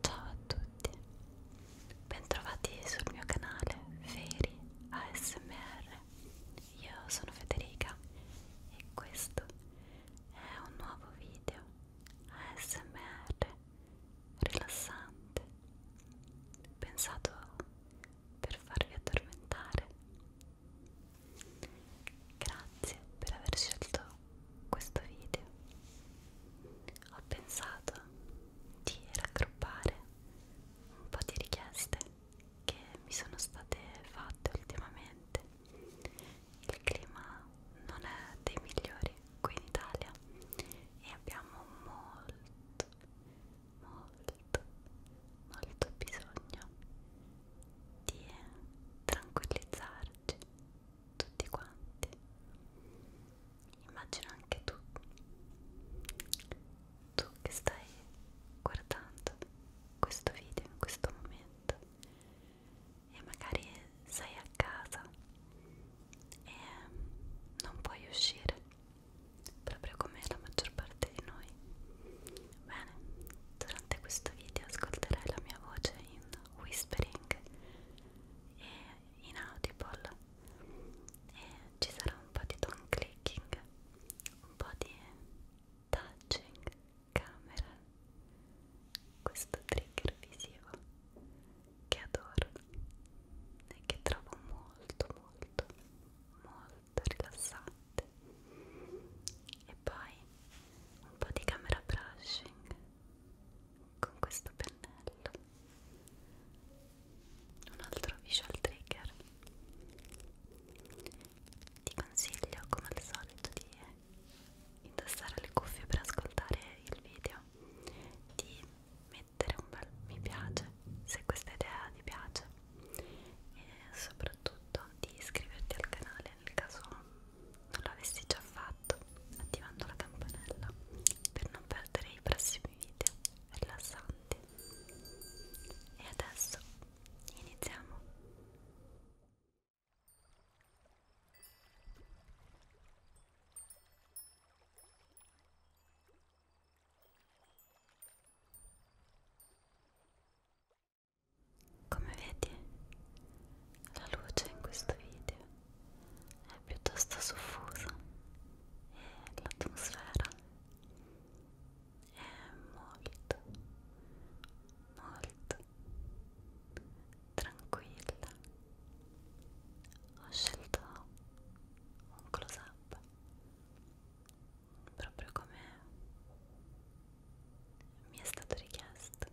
Ciao a tutti, bentrovati sul mio canale Feri ASMR. Io sono Federica e questo è un nuovo video ASMR rilassante, pensato per farvi addormentare. Grazie per aver scelto questo video. Ho pensato di raggruppare un po' di richieste che mi sono state fatte ultimamente. Il clima non è dei migliori qui in Italia e abbiamo molto molto molto bisogno di tranquillizzarci tutti quanti immagino anche tu tu che stai guardando questo video in questo momento e magari sei a casa e non puoi uscire proprio come la maggior parte di noi bene durante questo video ascolterai la mia voce in whispering e in audible e ci sarà un po' di tongue clicking un po' di touching camera questo trigger visivo che adoro e che trovo molto molto molto rilassante e poi un po' di camera brushing con questo pennello un altro visual trigger ti consiglio come al solito di indossare le cuffie per ascoltare il video di mettere un bel mi piace se questa idea ti piace e soprattutto di iscriverti al canale nel caso non l'avessi già fatto attivando la campanella per non perdere i prossimi video rilassanti e adesso iniziamo come vedi, la luce in questo video è piuttosto soffusa e l'atmosfera è molto molto letto tranquilla ho scelto un close up proprio come mi è stato richiesto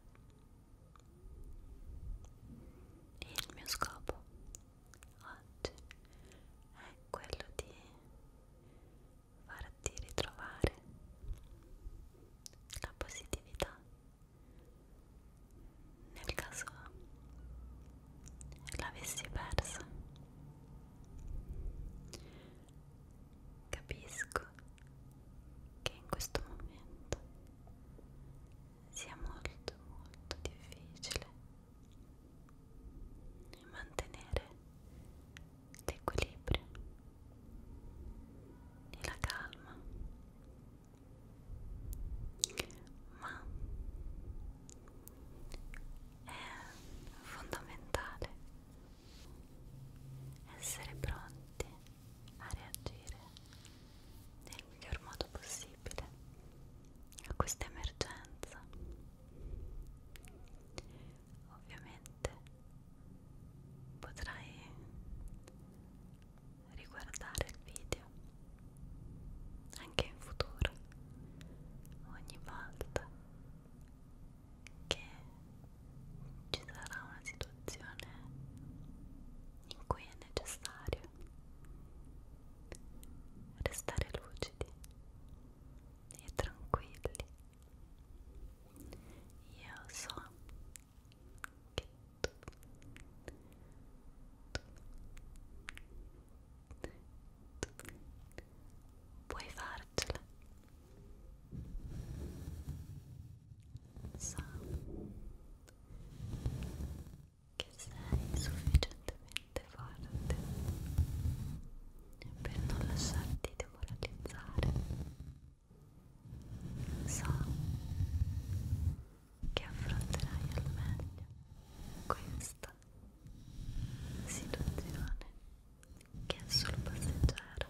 e il mio scopo oggi è quello di farti ritrovare la positività nel caso l'avessi persa capisco che in questo momento sia molto molto difficile mantenere l'equilibrio e la calma ma è fondamentale essere pronti a reagire nel miglior modo possibile a questa emergenza ovviamente potrai riguardare il video anche in futuro ogni volta che ci sarà una situazione in cui è necessario restare lucidi e tranquilli io so che tu, tu, tu puoi farcela. So che sei sufficientemente forte forte per non lasciarti demoralizzare so che affronterai al meglio questa situazione che è solo passeggera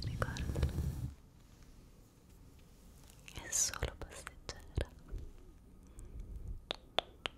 ricordalo è solo passeggera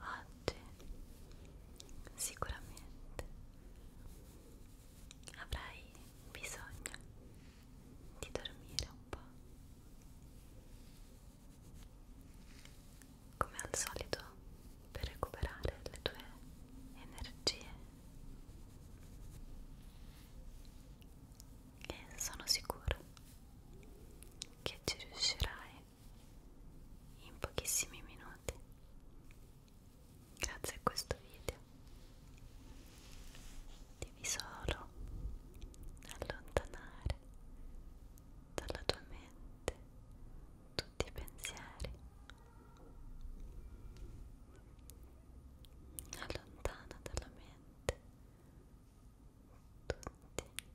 oggi sicuramente avrai bisogno di dormire un po'. Come al solito per recuperare le tue energie. E sono sicuro che ci riuscirai in pochissimi minuti grazie a questo video devi solo allontanare dalla tua mente tutti i pensieri allontana dalla mente tutti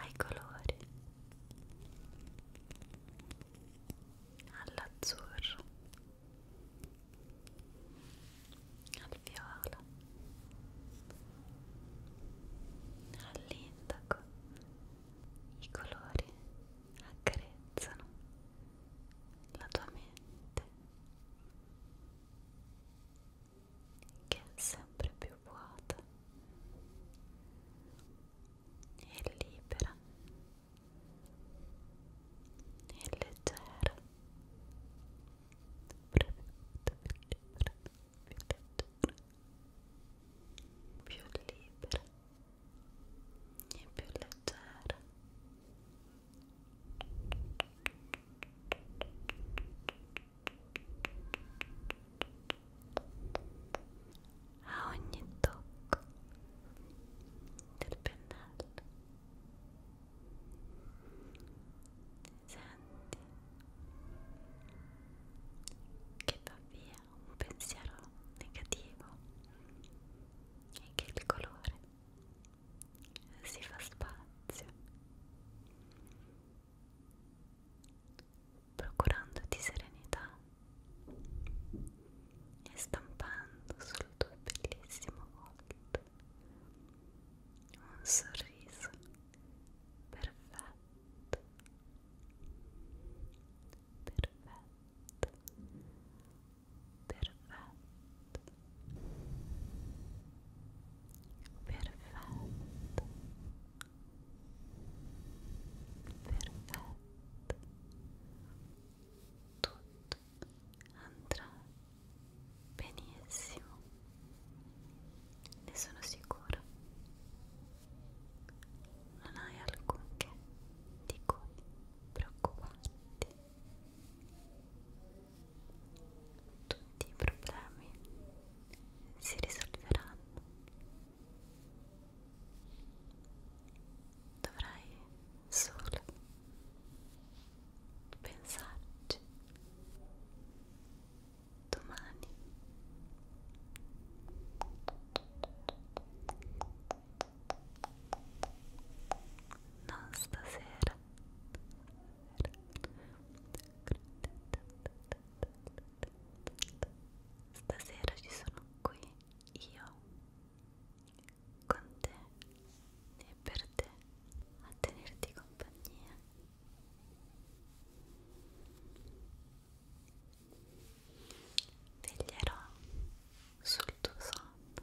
ai colori, all'azzurro, al viola, all'indaco. I colori accarezzano la tua mente che è sempre più vuota e libera e leggera più libera più leggera più libera e più leggera e a ogni tocco del pennello senti che va via un pensiero negativo e che il colore si fa spazio procurandoti serenità e stampando sul tuo bellissimo volto un sorriso perfetto, perfetto, perfetto. Perfetto. Perfetto. Tutto andrà benissimo. Ne sono sicura. Non hai alcunché di cui preoccuparti tutti i problemi si risolveranno. Dovrai solo pensarci. Domani non stasera Stasera ci sono qui io con te e per te a tenerti compagnia. Veglierò sul tuo sonno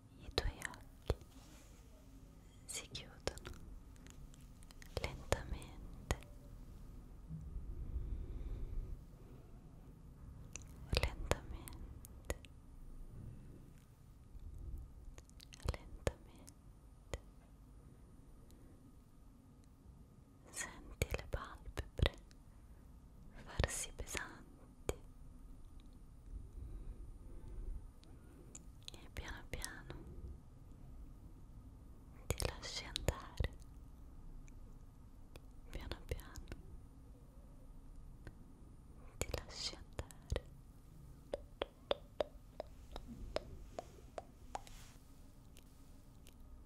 i tuoi occhi si chiudono lentamente lentamente lentamente senti le palpebre farsi pesanti e piano piano ti lasci andare piano piano ti lasci andare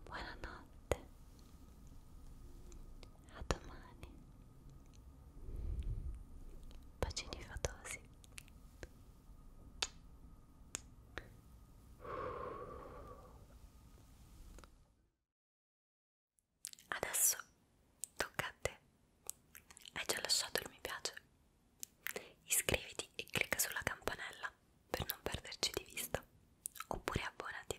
buonanotte a domani bacini fatosi adesso tocca a te hai già lasciato il mi piace iscriviti e clicca sulla campanella per non perderci di vista oppure abbonati